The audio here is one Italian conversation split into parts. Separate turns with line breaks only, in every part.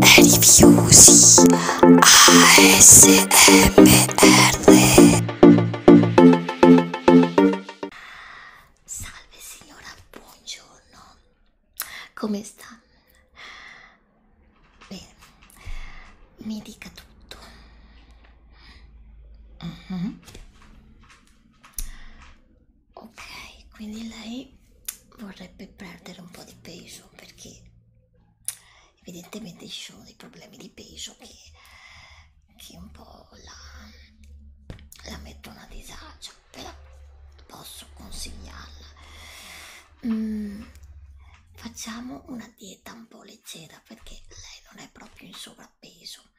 Rifiusi ASMR Salve signora, buongiorno. Come sta? Bene, mi dica tutto. Uh mm-hmm. -huh ok quindi lei vorrebbe perdere un po' di peso perché evidentemente ci sono dei problemi di peso che, che un po' la, la mettono a disagio però posso consigliarla mm, facciamo una dieta un po' leggera perché lei non è proprio in sovrappeso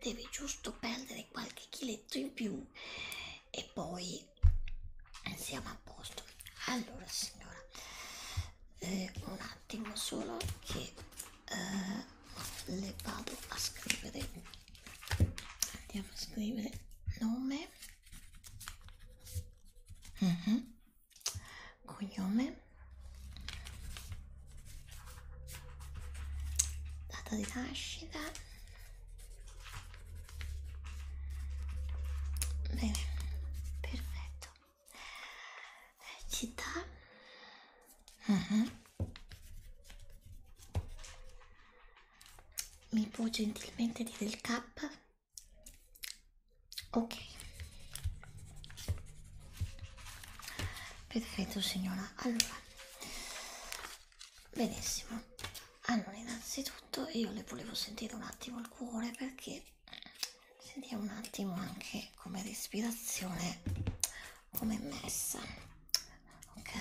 deve giusto perdere qualche chiletto in più e poi siamo a posto allora signora eh, un attimo solo che eh, le vado a scrivere andiamo a scrivere nome uh mhm. -huh. cognome data di nascita Bene, perfetto. Città. Uh -huh. Mi può gentilmente dire il K? Ok. Perfetto signora. Allora. Benissimo allora innanzitutto io le volevo sentire un attimo il cuore perché sentiamo un attimo anche come respirazione come è messa ok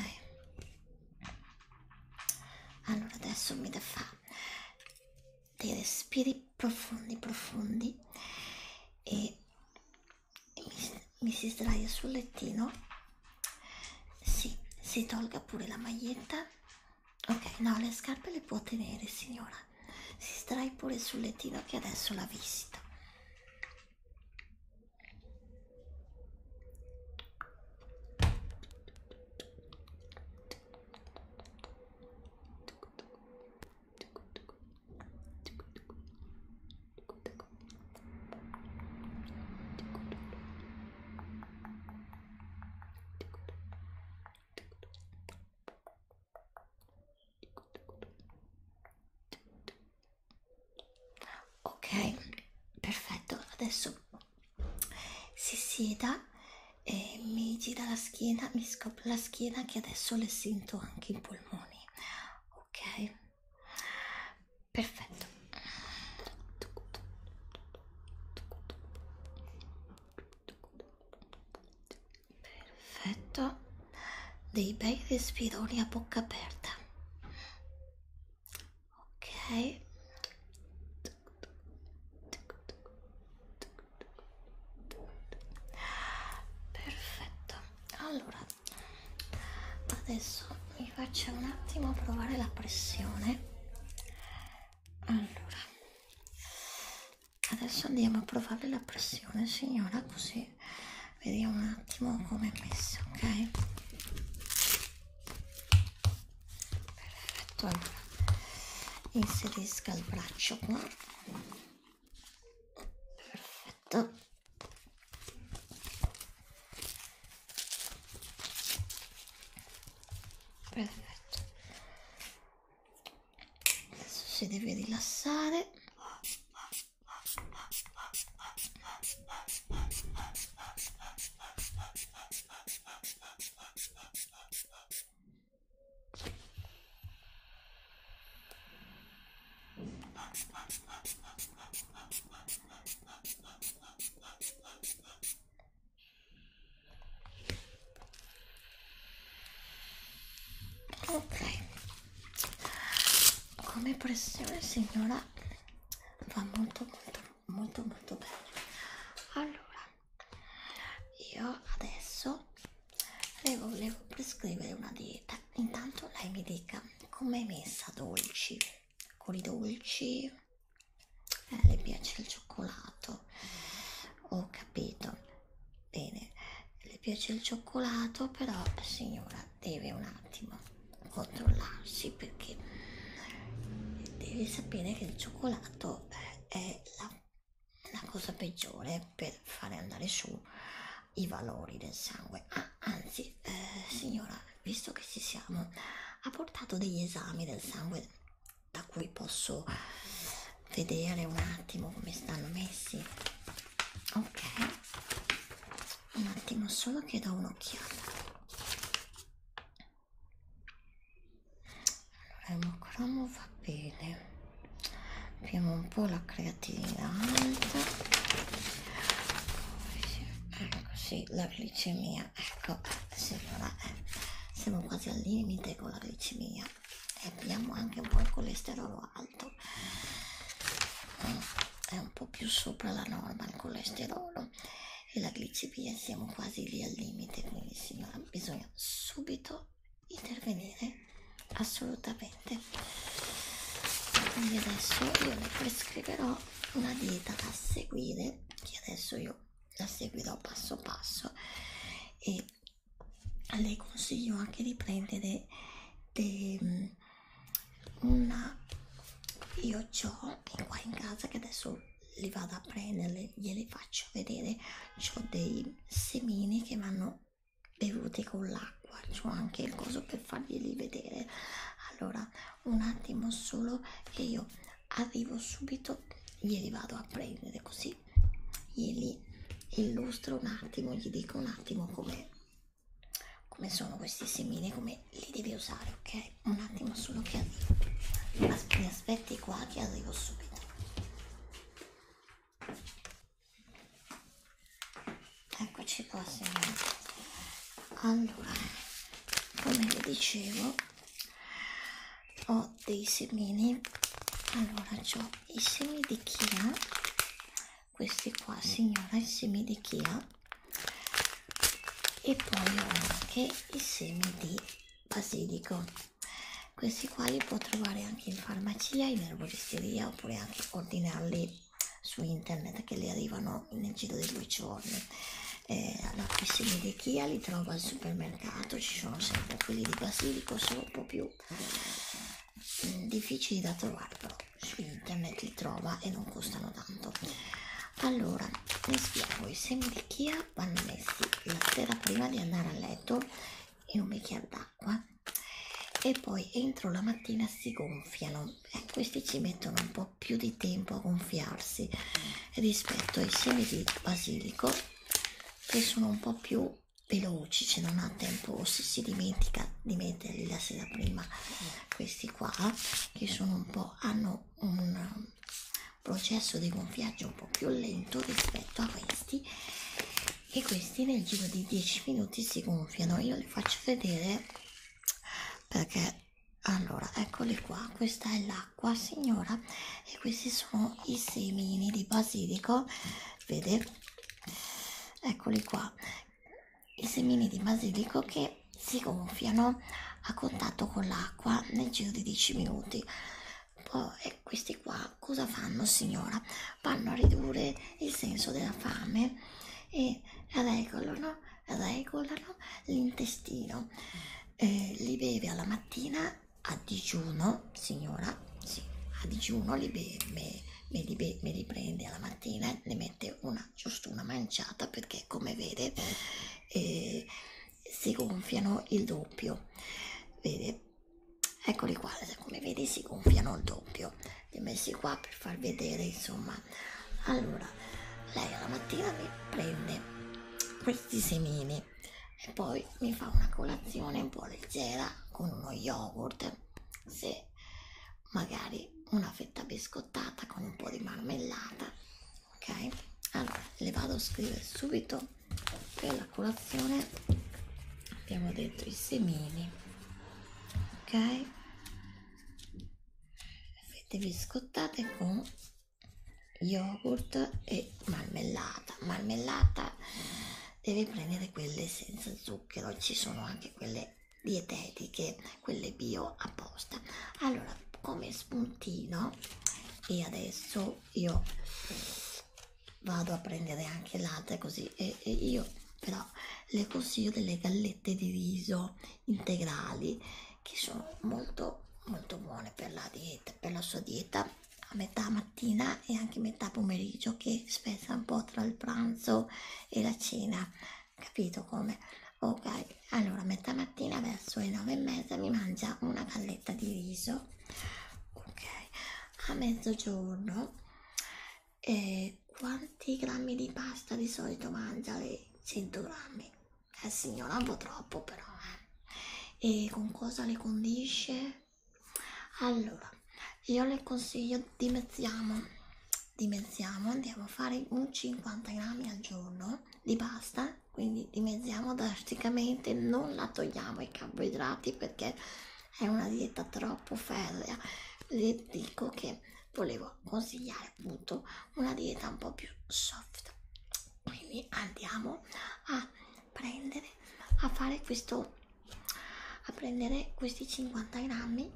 allora adesso mi da fa dei respiri profondi profondi e mi, mi si sdraia sul lettino sì, si tolga pure la maglietta. Ok, no, le scarpe le può tenere, signora. Si strai pure sul lettino che adesso la visito. Ok, perfetto. Adesso si sieda e mi gira la schiena, mi scopre la schiena che adesso le sento anche i polmoni. Ok perfetto perfetto dei bei respironi a bocca aperta ok perfetto allora adesso vi faccio un attimo provare la pressione allora adesso andiamo a provare la pressione signora così vediamo un attimo come è messa ok perfetto allora inserisca il braccio qua perfetto perfetto adesso si deve rilassare Ok, come pressione signora va molto molto molto molto bene. Allora, io adesso le volevo prescrivere una dieta. Intanto lei mi dica com'è messa dolci? Con i dolci? Eh, le piace il cioccolato? Ho capito. Bene, le piace il cioccolato, però signora deve un attimo controllarsi perché deve sapere che il cioccolato è la, la cosa peggiore per fare andare su i valori del sangue. Ah, anzi, eh, signora, visto che ci siamo, ha portato degli esami del sangue da cui posso vedere un attimo come stanno messi. Ok, un attimo solo che do un'occhiata. Allora, il mocromo va bene prima un po' la creatinina alta ecco sì la glicemia ecco signora eh, siamo quasi al limite con la glicemia e abbiamo anche un po' il colesterolo alto eh, è un po' più sopra la norma il colesterolo e la glicemia siamo quasi lì al limite quindi signora bisogna subito intervenire assolutamente quindi adesso io le prescriverò una dieta da seguire che adesso io la seguirò passo passo e le consiglio anche di prendere de, mm, una io ho qua in casa che adesso li vado a prendere glieli faccio vedere ho dei semini che vanno bevute con l'acqua c'ho anche il coso per farglieli vedere allora un attimo solo che io arrivo subito glieli vado a prendere così glieli illustro un attimo gli dico un attimo come come sono questi semini come li devi usare ok un attimo solo che arrivo As mi aspetti qua che arrivo subito Eccoci qua, signori. Allora, come vi dicevo, ho dei semini. Allora, ho i semi di chia. Questi qua, signora, i semi di chia. E poi ho anche i semi di basilico questi qua li può trovare anche in farmacia, in erboristeria oppure anche ordinarli su internet che le arrivano nel giro di due giorni. Eh, alla piscina di Chia li trovo al supermercato, ci sono sempre quelli di basilico, sono un po' più mm, difficili da trovare, però su internet li trova e non costano tanto. Allora, vi spiego, i semi di Chia vanno messi la sera prima di andare a letto in un bicchiere d'acqua acqua e poi entro la mattina si gonfiano e eh, questi ci mettono un po' più di tempo a gonfiarsi rispetto ai semi di basilico che sono un po' più veloci, cioè non ha tempo, se si dimentica di metterli la sera prima questi qua che sono un po' hanno un processo di gonfiaggio un po' più lento rispetto a questi e questi nel giro di 10 minuti si gonfiano io li faccio vedere perché allora eccoli qua questa è l'acqua signora e questi sono i semini di basilico vede eccoli qua i semini di basilico che si gonfiano a contatto con l'acqua nel giro di 10 minuti poi questi qua cosa fanno signora? Vanno a ridurre il senso della fame e regolano, regolano l'intestino. Eh, li beve alla mattina a digiuno, signora, sì, a digiuno li beve, me, li, be, me li prende alla mattina, ne mette una, giusto una manciata perché come vede eh, si gonfiano il doppio. Vede, eccoli qua come vedi si gonfiano il doppio li ho messi qua per far vedere insomma allora lei alla mattina mi prende questi semini e poi mi fa una colazione un po' leggera con uno yogurt se magari una fetta biscottata con un po' di marmellata ok allora le vado a scrivere subito per la colazione abbiamo dentro i semini ok le fette biscottate con yogurt e marmellata marmellata deve prendere quelle senza zucchero ci sono anche quelle dietetiche quelle bio apposta allora come spuntino e adesso io vado a prendere anche latte così e, e io però le consiglio delle gallette di riso integrali che sono molto molto buone per la dieta per la sua dieta a metà mattina e anche metà pomeriggio che spezza un po' tra il pranzo e la cena capito come ok allora metà mattina verso le nove e mezza mi mangia una galletta di riso ok a mezzogiorno eh, quanti grammi di pasta di solito mangia lei? 100 grammi eh signora un po' troppo però eh. e con cosa le condisce? allora io le consiglio dimezziamo dimezziamo andiamo a fare un 50 grammi al giorno di pasta quindi dimezziamo drasticamente, non la togliamo i carboidrati perché è una dieta troppo ferrea. Le dico che volevo consigliare appunto una dieta un po' più soft. Quindi andiamo a prendere a fare questo a prendere questi 50 grammi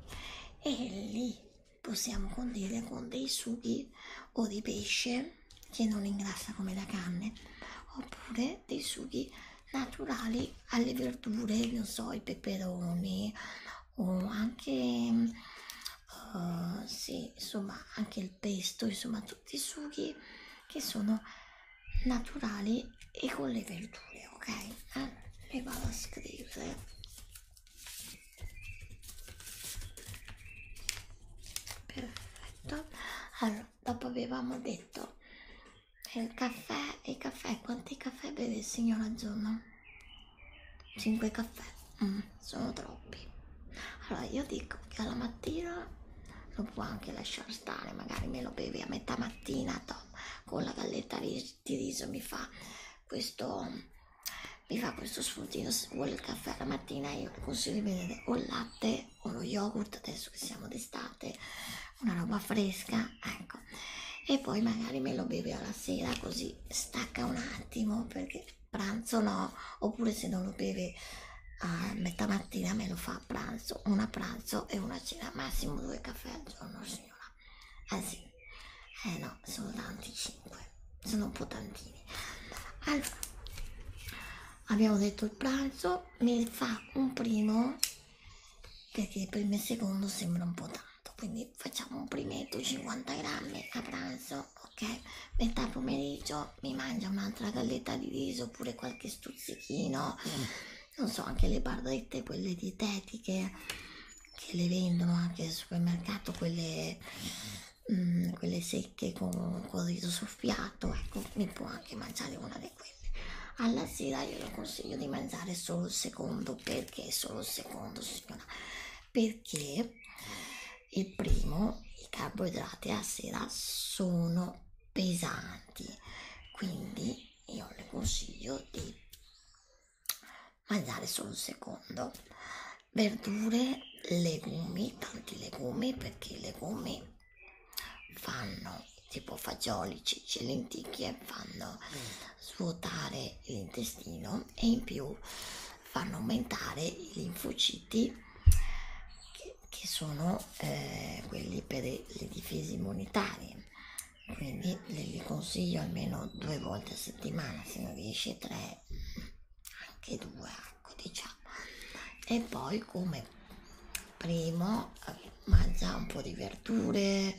e li possiamo condire con dei sughi o di pesce che non ingrassa come la carne oppure dei sughi naturali alle verdure non so i peperoni o anche uh, sì, insomma anche il pesto insomma tutti i sughi che sono naturali e con le verdure ok eh, le vado a scrivere perfetto allora dopo avevamo detto eh, il caffè e caffè quanti caffè beve il signor Azzurro? 5 caffè mm, sono troppi allora io dico che alla mattina lo può anche lasciare stare magari me lo bevi a metà mattina Tom, con la galletta di riso mi fa questo mi fa questo sfruttino se vuole il caffè la mattina io vi consiglio di bere o il latte o lo yogurt adesso che siamo d'estate una roba fresca ecco e poi magari me lo beve alla sera così stacca un attimo perché pranzo no oppure se non lo beve a metà mattina me lo fa a pranzo una pranzo e una cena massimo due caffè al giorno signora anzi eh, eh no sono tanti cinque sono un po' tantini allora abbiamo detto il pranzo mi fa un primo perché il primo e il secondo sembra un po' tanto quindi facciamo un primetto 50 grammi a pranzo ok metà pomeriggio mi mangia un'altra galletta di riso oppure qualche stuzzichino mm. non so anche le bardette quelle dietetiche che le vendono anche al supermercato quelle mh, mm, quelle secche con, con il riso soffiato, ecco, mi può anche mangiare una di quelle. Alla sera io lo consiglio di mangiare solo il secondo, perché solo il secondo, signora? Perché il primo, i carboidrati a sera sono pesanti, quindi io le consiglio di mangiare solo il secondo verdure, legumi, tanti legumi perché i legumi fanno tipo fagioli, cicci, lenticchie eh, fanno svuotare l'intestino e in più fanno aumentare i linfociti che, che sono eh, quelli per le difese immunitarie quindi le, li consiglio almeno due volte a settimana se non riesci tre anche due ecco diciamo e poi come primo eh, mangia un po' di verdure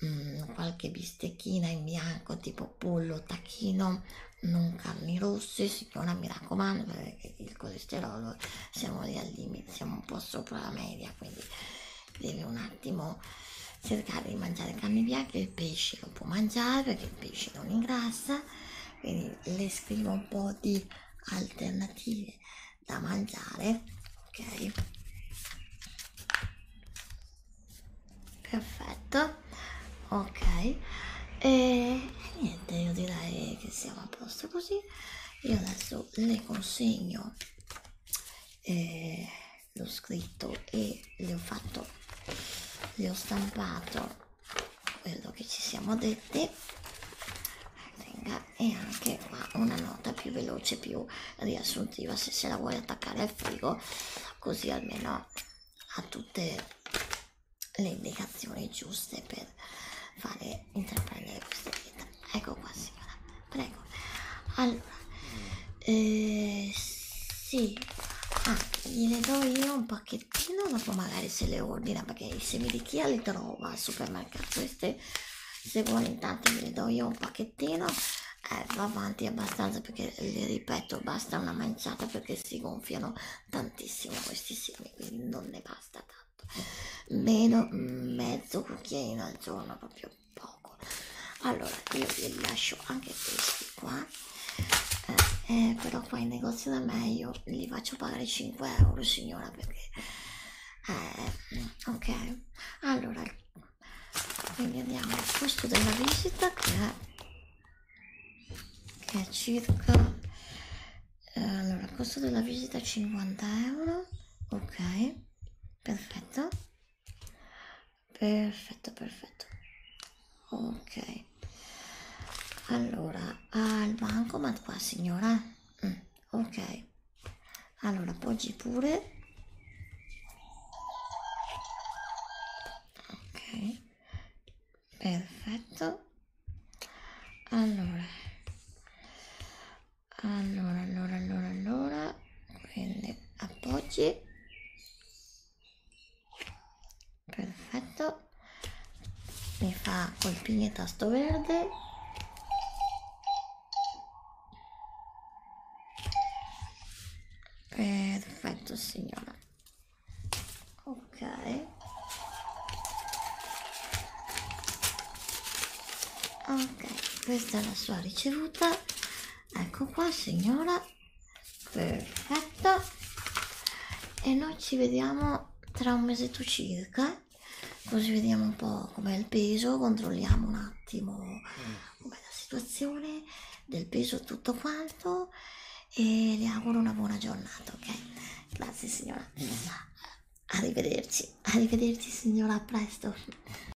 mh, mm, qualche bistecchina in bianco tipo pollo tacchino non carni rosse signora mi raccomando perché il colesterolo siamo lì al limite siamo un po' sopra la media quindi deve un attimo cercare di mangiare carne bianca, il pesce lo può mangiare perché il pesce non ingrassa, quindi le scrivo un po' di alternative da mangiare, ok? Perfetto, ok, e niente, io direi che siamo a posto così. Io adesso le consegno. Eh, l'ho scritto e le ho fatto le ho stampato quello che ci siamo detti e anche qua una nota più veloce più riassuntiva se se la vuoi attaccare al frigo così almeno ha tutte le indicazioni giuste per fare intraprendere questa vita ecco qua signora prego allora eh, sì ah, gliene do io un pacchettino dopo magari se le ordina perché i semi di chia li trova al supermercato queste se vuole intanto gliene do io un pacchettino eh, va avanti abbastanza perché le ripeto basta una manciata perché si gonfiano tantissimo questi semi quindi non ne basta tanto meno mezzo cucchiaino al giorno proprio poco allora io vi lascio anche questi qua eh, eh, però qua in negozio da me io li faccio pagare 5 euro signora perché eh, ok allora quindi andiamo al costo della visita che è, che è circa eh, allora costo della visita 50 euro ok perfetto perfetto perfetto ok allora al bancomat qua signora mm, ok allora appoggi pure ok perfetto allora allora allora allora allora prende, appoggi, perfetto, mi fa col tasto verde, perfetto signora, ok. Ok, questa è la sua ricevuta ecco qua signora perfetto e noi ci vediamo tra un mesetto circa così vediamo un po' com'è il peso controlliamo un attimo mm. com'è la situazione del peso tutto quanto e le auguro una buona giornata ok grazie signora mm. arrivederci arrivederci signora a presto